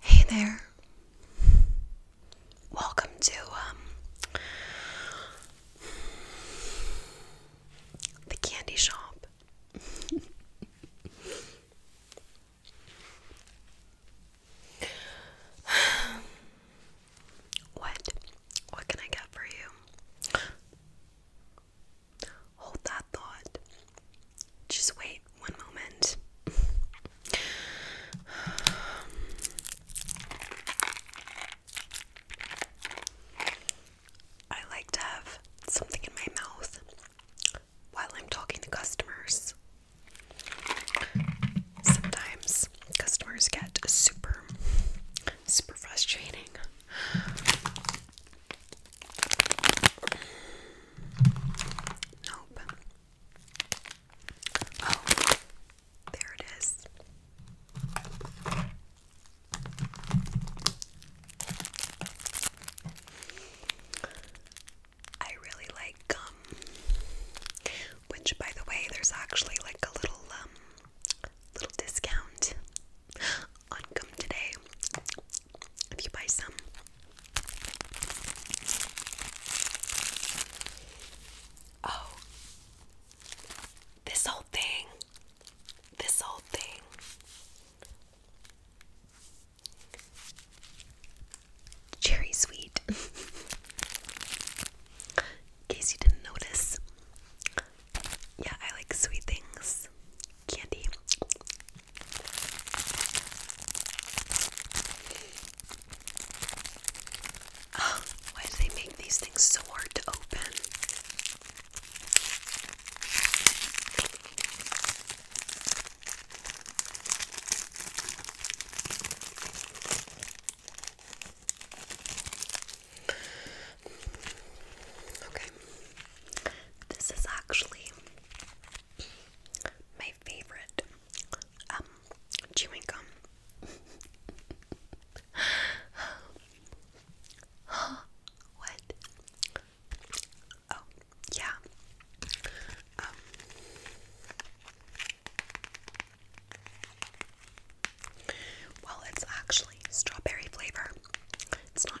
Hey there. Welcome to um the candy shop. what? What can I get for you? Hold that thought. Just wait one moment. I like to have something in my mouth while I'm talking to customers. Sometimes customers get super, super frustrating. Nope. Oh, there it is. I really like gum, which, by the way, there's actually like a little um, little discount on Today if you buy some. Oh, this whole thing, this whole thing. Cherry sweet. In case you didn't notice, yeah, I like sweet things. Candy. Um, why do they make these things so hard to open? Okay. This is actually my favorite um, chewing gum. what? Oh, yeah. Um, well, it's actually strawberry flavor. It's not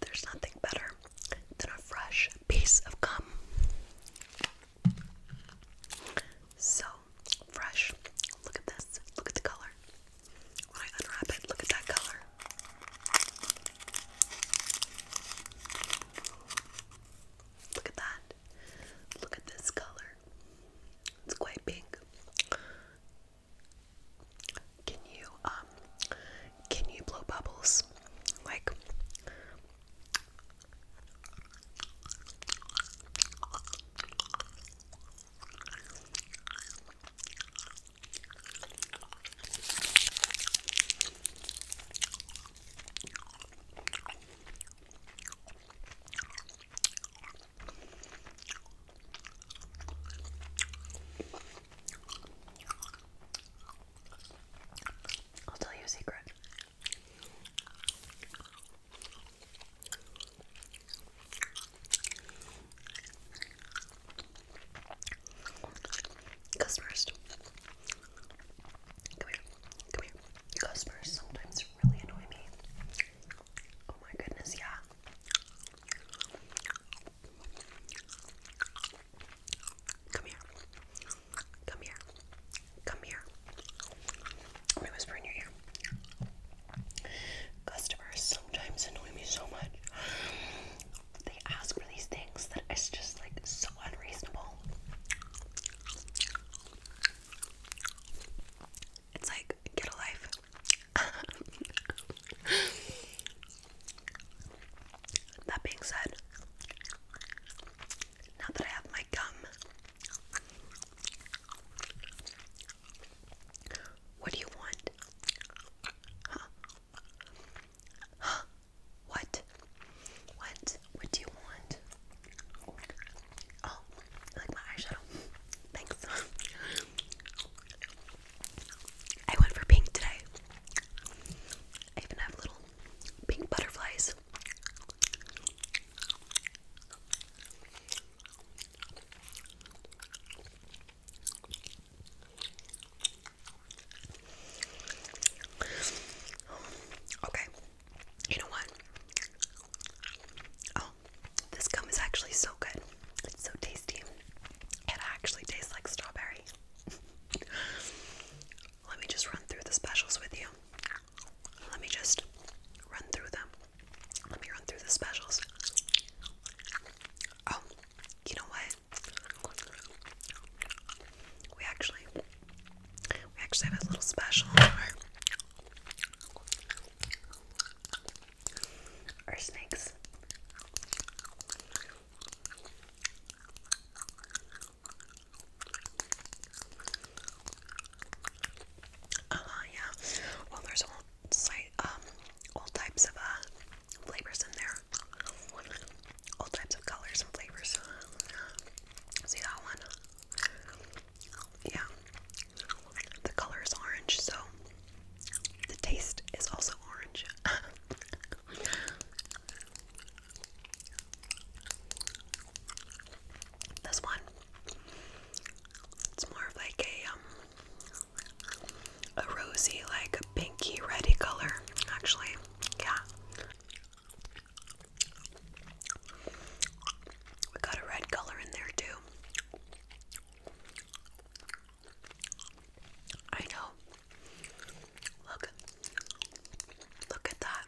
There's nothing better than a fresh piece of gum. So fresh. Look at this. Look at the color. When I unwrap it, look at that color. Look at that. Look at this color. It's quite pink. Can you um, can you blow bubbles? Like I'll tell you a secret. Customers, come here, come here. Customers sometimes really annoy me. Oh my goodness, yeah. Come here. Come here. Come here. Let me whisper your ear. Customers sometimes annoy me so much. They ask for these things that just like so unreasonable. It's like, get a life. that being said, now that I have my gum, what do you want? Huh? Huh? What? What? What do you want? Oh, like my eyeshadow. Thanks. I went for pink today. I even have little pink butterflies. Okay. You know what? Oh, this gum is actually so good. It's so tasty. It actually tastes like strawberry. Let me just run through the specials with you. Let me just run through them. Let me run through the specials. Oh, you know what? We actually we actually have a little special or snakes. Uh, yeah. Well, there's all um, all types of uh, flavors in there. All types of colors and flavors. See that one? Yeah. The color is orange, so the taste is also orange. this one, it's more of like a um, a rosy, like a pinky reddy color, actually. Yeah. We got a red color in there too. I know. Look. Look at that.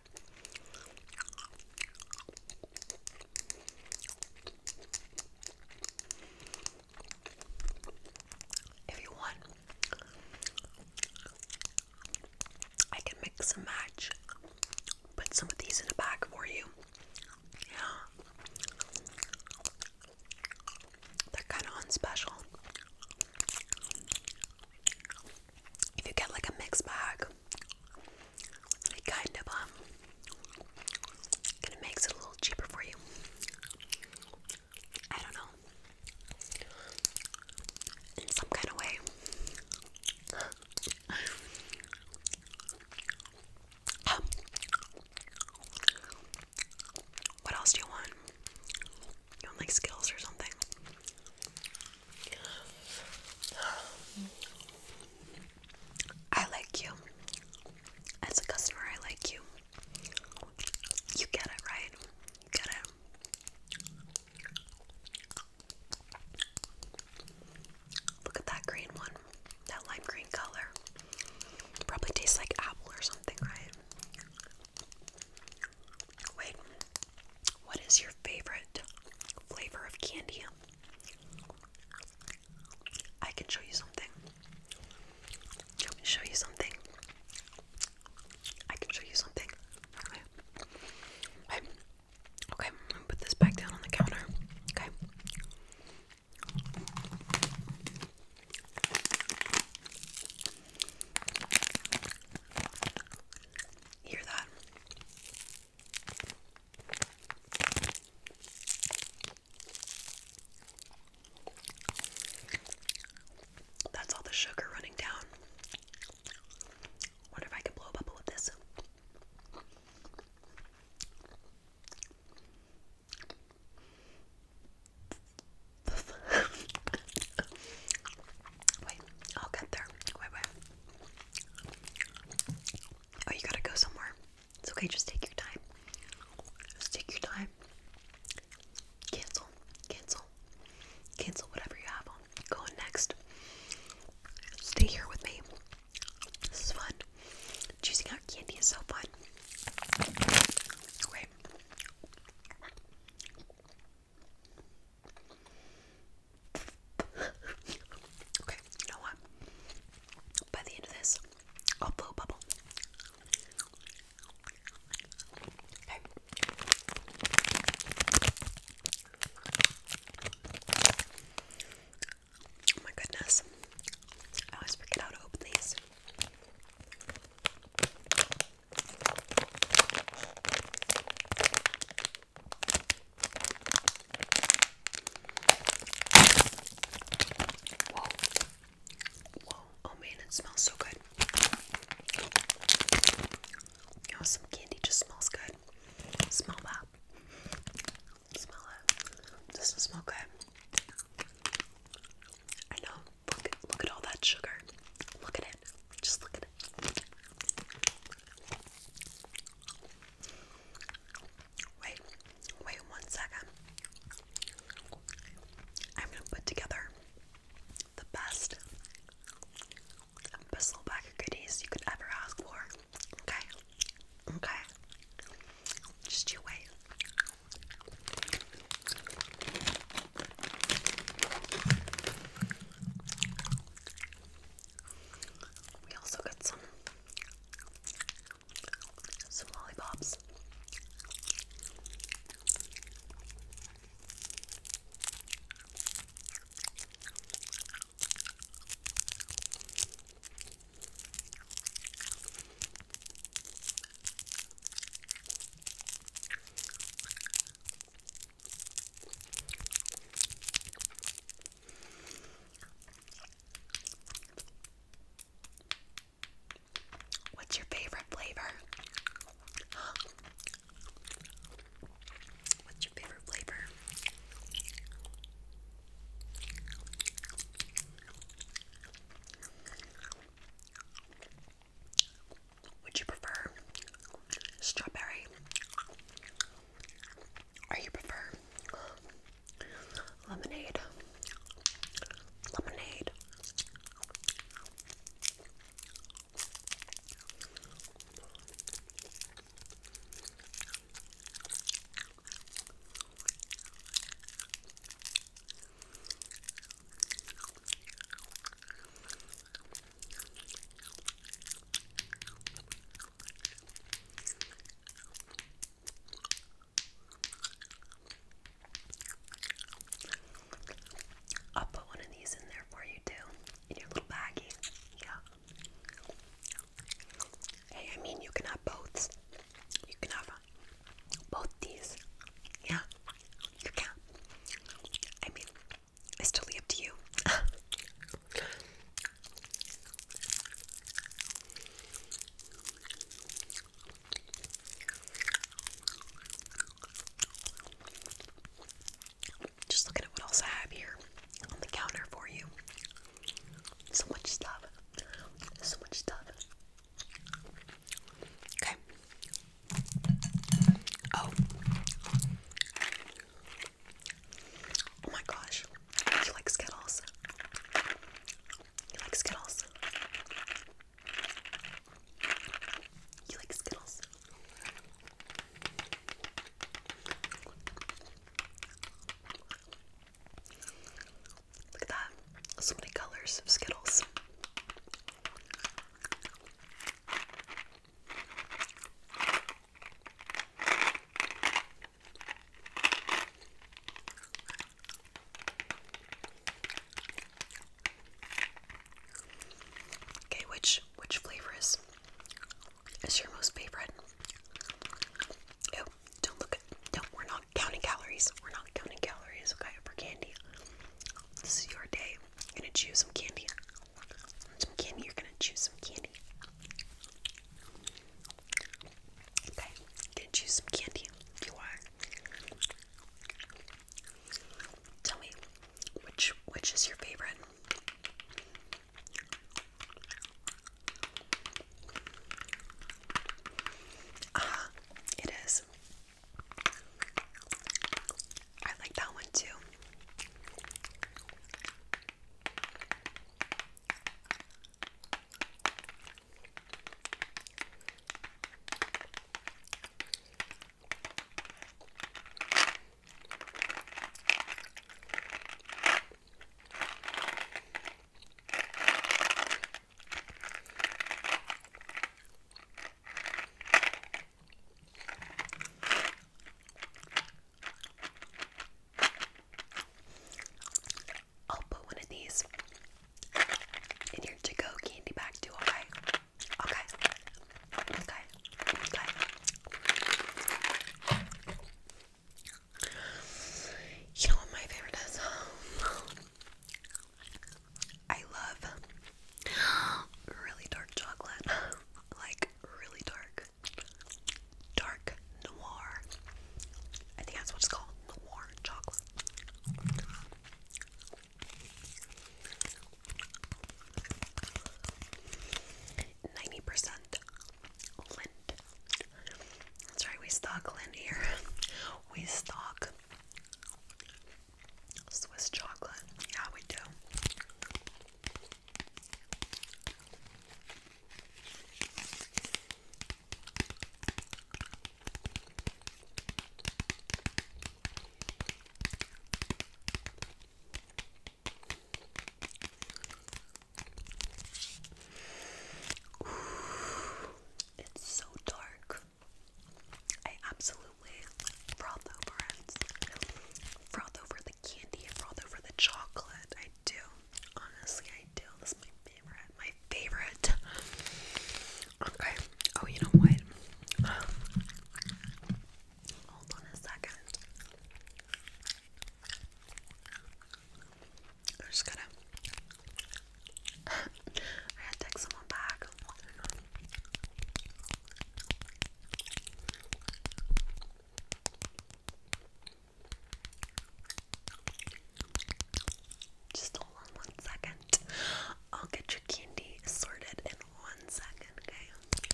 If you want, I can mix and match. Put some of these in a bag for you. They're kind of unspecial. If you get like a mixed bag, it kind of um kind of makes it a little cheaper for you. I don't know. In some kind of way. Um, what else do you want? You want like skills or something? I like you. As a customer, I like you. You get it, right? You get it. Look at that green one that lime green color. Probably tastes like apple or something, right? Wait, what is your favorite flavor of candy? I can show you something. Let me show you something. I can show you something. Okay. Okay, I'm gonna put this back down on the counter. Okay. Hear that? That's all the sugar running down. Wonder if I can blow a bubble with this. wait, I'll get there. Wait, wait. Oh, you gotta go somewhere. It's okay, just take your time. Just take your time. Cancel, cancel, cancel whatever you have on. Go next. Stay here with me. This is fun. Choosing our candy is so fun. Wait. okay, you know what? By the end of this, I'll blow a Okay. Oh my goodness. I always forget how to open these. Whoa. Whoa. Oh man, it smells so good. Oh, some candy just smells good. Smell that. Smell it. Doesn't smell good. I know. Look, at all that sugar. Look at it. Just look at it. Wait, wait one second. I'm gonna put together the best bristle bag goodies you could ever ask for. Okay. Okay. Just your way. We also got some some lollipops. What's your favorite flavor? What's your favorite flavor? Would you prefer strawberry? Or you prefer lemonade? Lemonade. I'll put one of these in there for you too, in your little baggie. Yeah. Hey, I mean, you can have both. You can have both these. Yeah, you can. I mean, it's totally up to you. Just looking at what else I have here on the counter for you. So much stuff. So much stuff. Okay. Oh. Oh my gosh. You like Skittles? You like Skittles? You like Skittles? Look at that. So many colors of Skittles. Okay, which which flavor is is your most favorite? don't look at, don't, we're not counting calories. We're not counting calories, okay, for candy. This is your day. You're gonna choose some candy. Some candy, you're gonna choose some candy. Okay, you're gonna choose some candy. You are. Tell me, which which is your favorite? Ah, it is. I like that one too. I'll put one of these in your to go candy bag too, okay? Okay. Okay. Okay. You know what my favorite is? I love really dark chocolate. Like, really dark. Dark noir. I think that's what's called. Noir chocolate. Ninety percent lint. That's right, we stock lint here. We stock Swiss chocolate. Yeah, we do. It's so dark. I absolutely froth over it. Froth over the candy and froth over the chocolate. I do. Honestly, I do. This is my favorite. My favorite. Okay. Oh, you know what? Hold on a second. I'm just gonna. I had to take someone back. Just hold on one second. I'll get your candy sorted in one second, okay?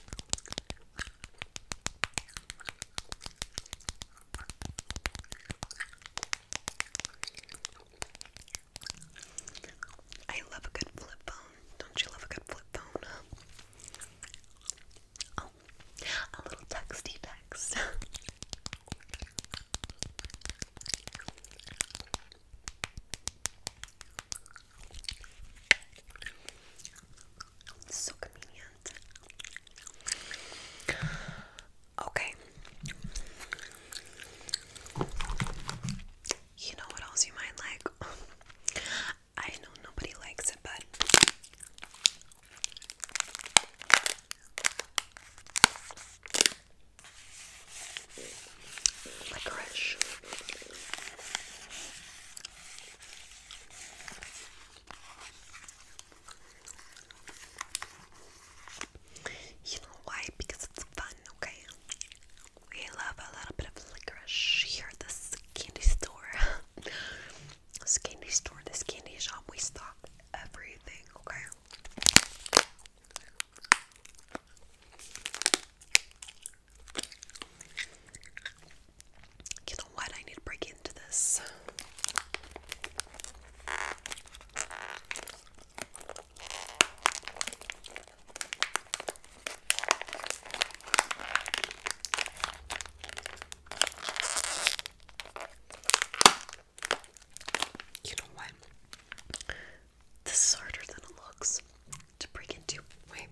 I love a good flip phone. Don't you love a good flip phone? Oh, a little texty text. so convenient. Okay. You know what else you might like? I know nobody likes it, but licorice. You know why? Because it's fun, okay? We love a little bit of licorice here at this candy store. this candy store, this candy shop, we stock everything, okay? You know what? I need to break into this. You know what? This is harder than it looks to break into. Wait.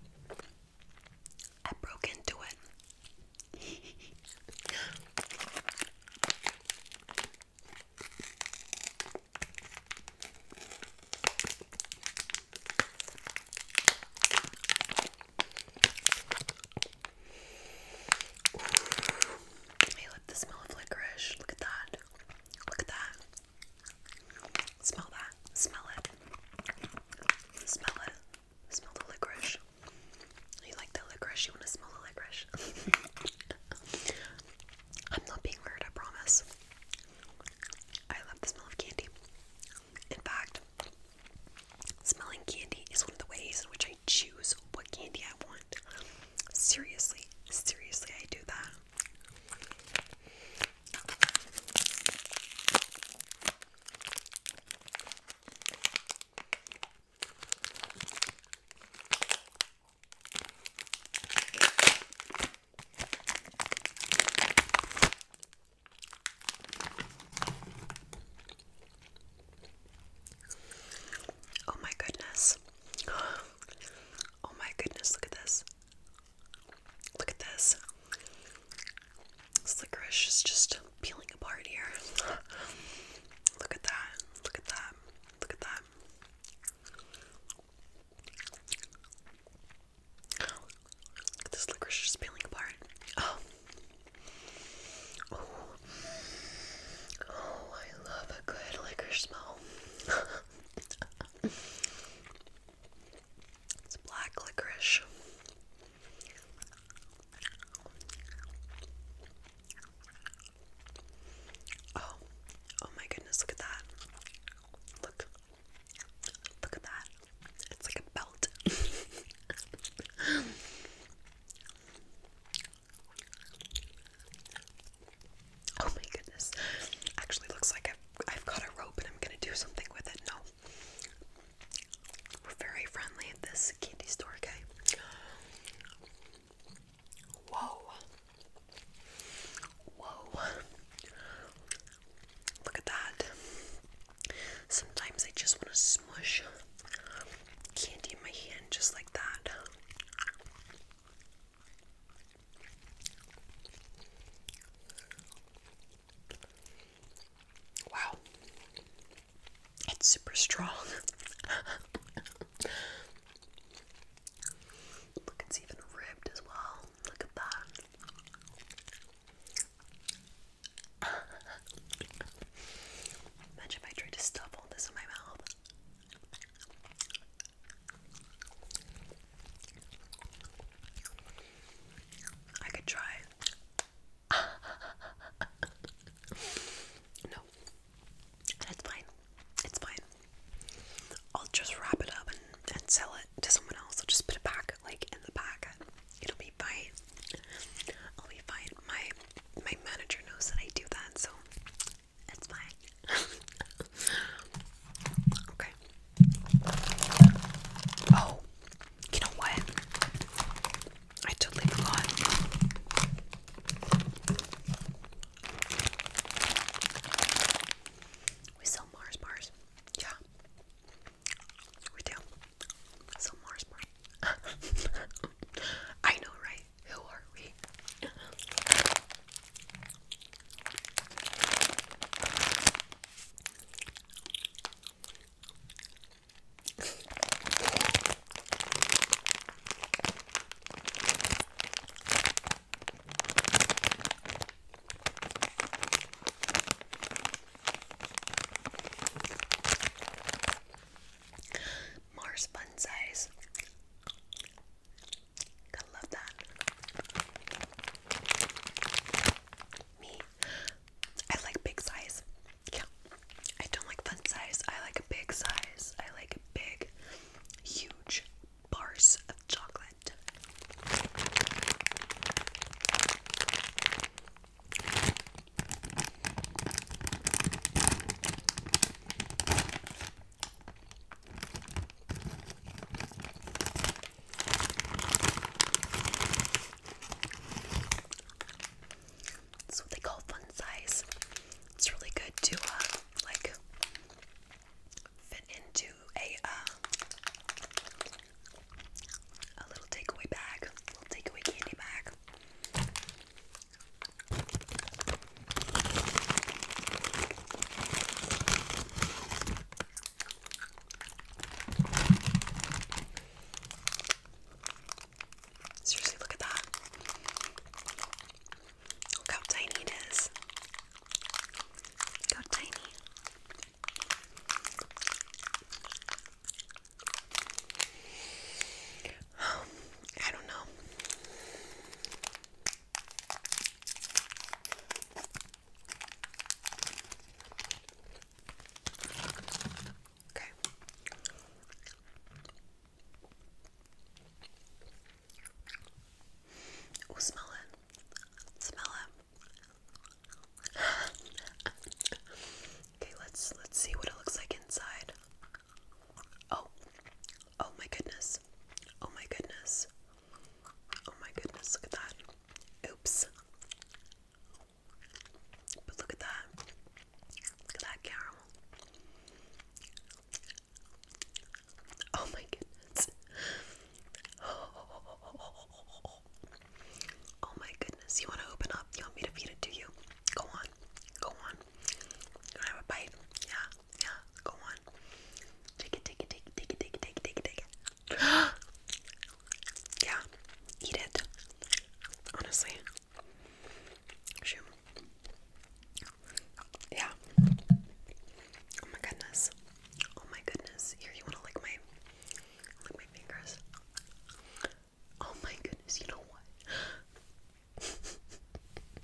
I broke into it. I love the smell of licorice. Look at that. Look at that. Smell that. Smell it. Smell it. Smell the licorice. You like the licorice? You want to smell the licorice? I'm not being weird, I promise. I love the smell of candy. In fact, smelling candy is one of the ways in which I choose what candy I want. Seriously, seriously, I do that. Oh, my goodness. Oh, my goodness. Look at this. Look at this. This licorice is just peeling apart here. look at that. Look at that. Look at that. this licorice just peeling apart. Oh. oh. Oh, I love a good licorice smell. it's black licorice. Oh, oh my goodness, look at that. Look, look at that. It's like a belt. oh my goodness. Actually, looks like I've, I've got a rope and I'm gonna do something with it. No. We're very friendly at this candy store, okay? Whoa. Whoa. Look at that. Sometimes I just want to smush candy in my hand just like that. Wow. It's super strong. Look, it's even ribbed as well. Look at that. Imagine if I tried to stuff all this in my mouth. I could try no, that's fine. It's fine. I'll just wrap it up and, and sell it to someone else. I'll just put it back, like in the packet. It'll be fine. I'll be fine. My my manager knows that I do that, so it's fine. okay. Oh, you know what? I totally forgot. We sell Mars bars. Yeah. We do. sell Mars bars. I know, right? Who are we? Mars fun size. Gotta love that. Me I like big size. Yeah. I don't like fun size. I like a big size. I like big, huge bars of chocolate. That's what they call fun size. It's really good to uh, like fit into a uh, a little takeaway bag, a takeaway candy bag. Seriously, look at that. Look how tiny it is. how tiny. I don't know. Okay. Oh, smell it. Smell it. okay, let's let's see what it looks like inside. Oh. Oh my goodness. Oh my goodness. Oh my goodness, look at that. Oops. But look at that. Look at that caramel. Oh my goodness. Oh my goodness. You want to open up? You want me to feed it to you? Go on. Go on. have a bite? Yeah. Yeah. Go on. Take it, take it, take it, take it, take it, take it, take it. Oh yeah, eat it. Honestly. Shoot. Yeah. Oh my goodness. Oh my goodness. Here, you wanna lick my lick my fingers? Oh my goodness, you know what?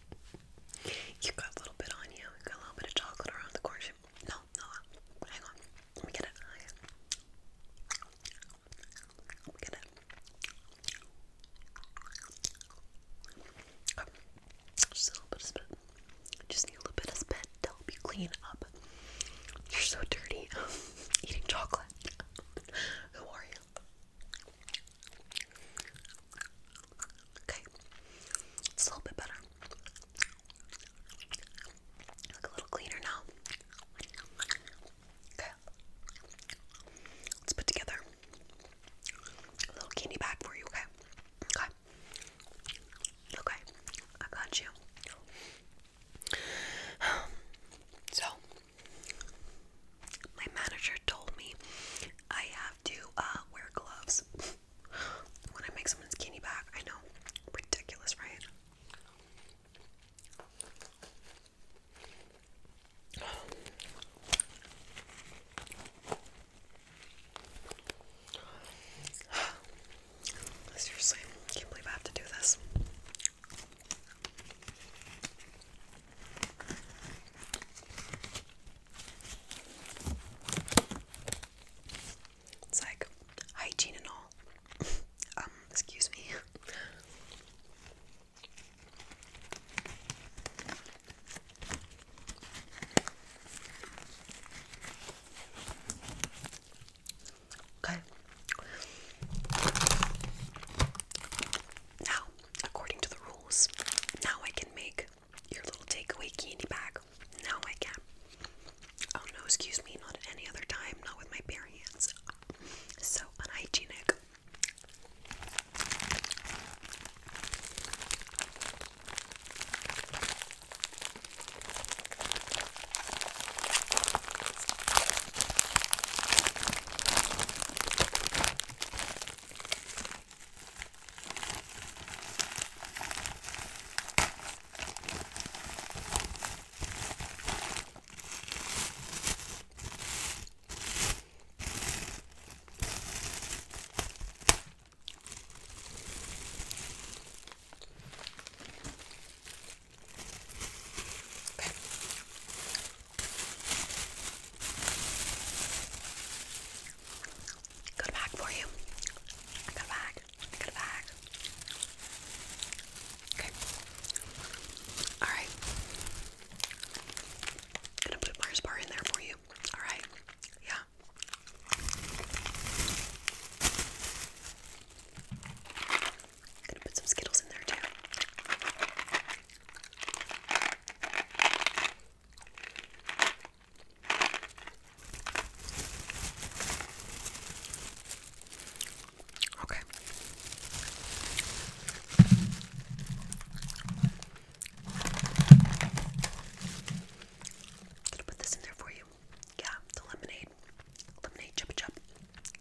you got a little bit on you, you got a little bit of chocolate around the corner. No, no, hang on. Let me get it just a little bit of spit. Just a little bit of spit to help you clean up. You're so dirty. Eating chocolate. Who are you? Okay, it's a little bit better. Look a little cleaner now. Okay. Let's put together a little candy bag for you, okay? Okay. Okay. I got you. So, my manager told me I have to uh, wear gloves when I make someone's candy bag. I know, ridiculous, right? Seriously, I can't believe I have to do this. It's like hygiene and all. Um, excuse me. Okay. Now, according to the rules, now I can make your little takeaway candy bag. Now I can. Oh no, excuse me, not any other time, not with my bare hands. So unhygienic. Got a bag for you. I got a bag. Okay. Alright. Gonna put Mars bar in there for you. Alright. Yeah. Gonna put some Skittles in there too. Okay. i put this in there for you. Yeah, the lemonade. Lemonade chip chip.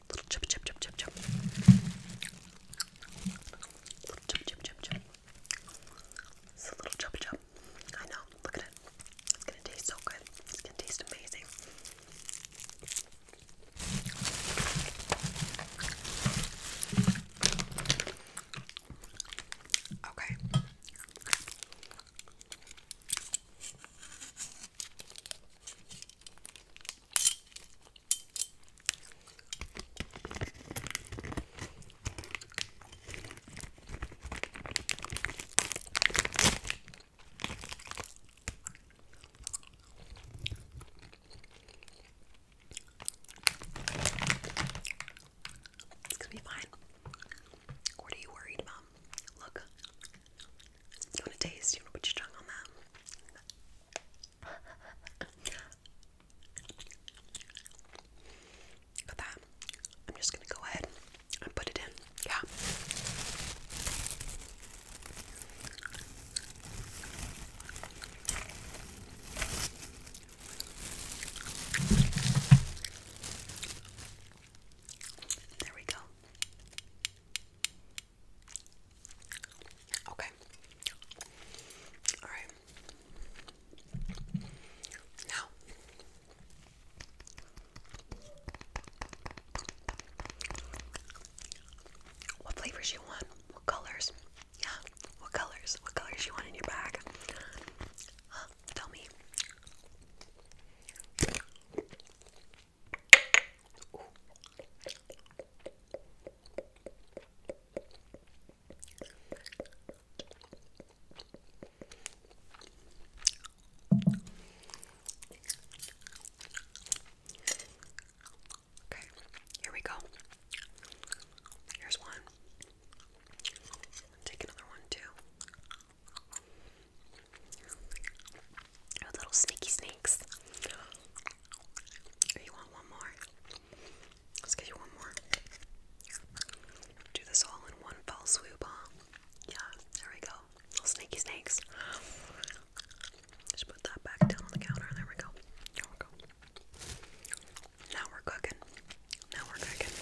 Little chip chip chip chip chip. Little chip chip chip It's a little chip chip. I know, look at it. It's gonna taste so good. It's gonna taste amazing. Okay. It's gonna be fine. What are you worried about? Look. You wanna taste? You wanna put your tongue on that? Got that. I'm just gonna go ahead I put it in. Yeah. There we go. Okay. All right. Now, what flavors you want? What colors? Yeah, what colors? What colors you want in your bag? Tell me. Okay, here we go. Here's one. Take another one too. little sneaky snakes. you want one more? Let's get you one more. Do this all in one fell swoop, huh? Yeah, there we go. Little snaky snakes. Just put that back down on the counter. There we go. There we go. Now we're cooking. Now we're cooking.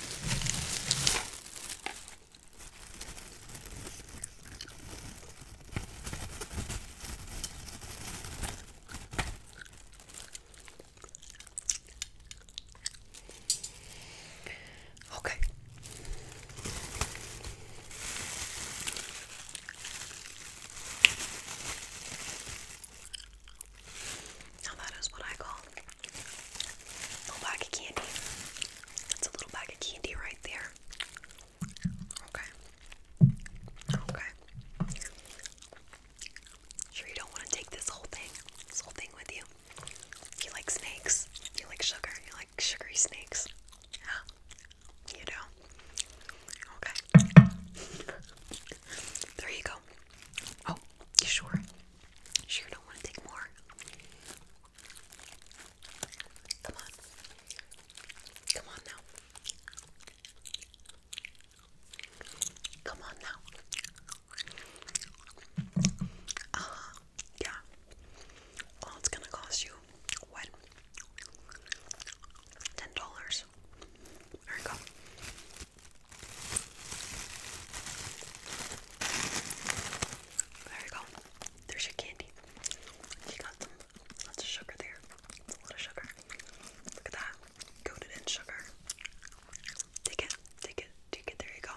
Okay. Now that is what I call a little bag of candy. That's a little bag of candy right there. Okay. Okay. Sure you don't want to take this whole thing, this whole thing with you. You like snakes. You like sugar. You like sugary snakes. Yeah, you know. Okay. there you go. Oh, you sure? Sure don't want to take more. Come on. Come on now. Come on now. Uh yeah, all it's gonna cost you, what? Ten dollars. There you go. There you go. There's your candy. You got some lots of sugar there. It's a lot of sugar. Look at that. Coated in sugar. Take it. Take it. Take it. There you go.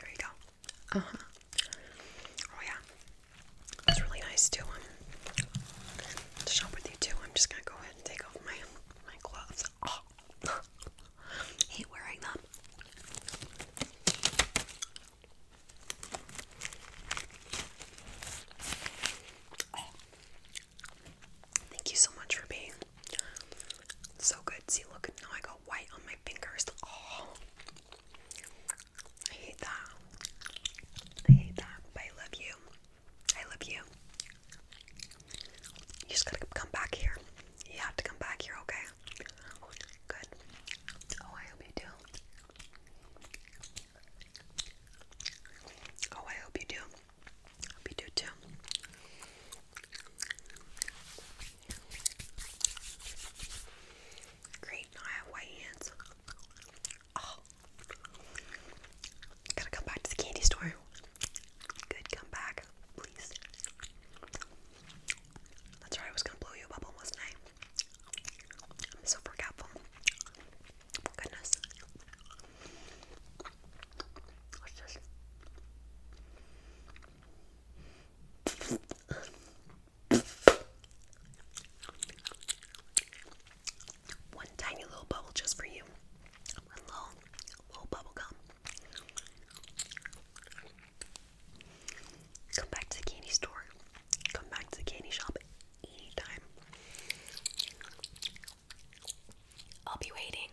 There you go. Uh huh. Oh yeah. It's really nice to to shop with you too. I'm just gonna go ahead and take off my my gloves. Hate wearing them. Thank you so much for being so good. See, look, now I got white on my fingers. Oh. I hate that. I hate that, but I love you. I love you. You just gotta come back here. You have to come back here, okay? Good. Oh, I hope you do. Oh, I hope you do. hope you do too. Great, now I white hands. Oh. Gotta come back to the candy store. Good, come please. That's right, I was gonna blow you a bubble, wasn't I? I'm so forgetful. goodness. One tiny little bubble just for you. One little, little bubble gum. Come back to the candy store. Come back to the candy shop anytime. I'll be waiting.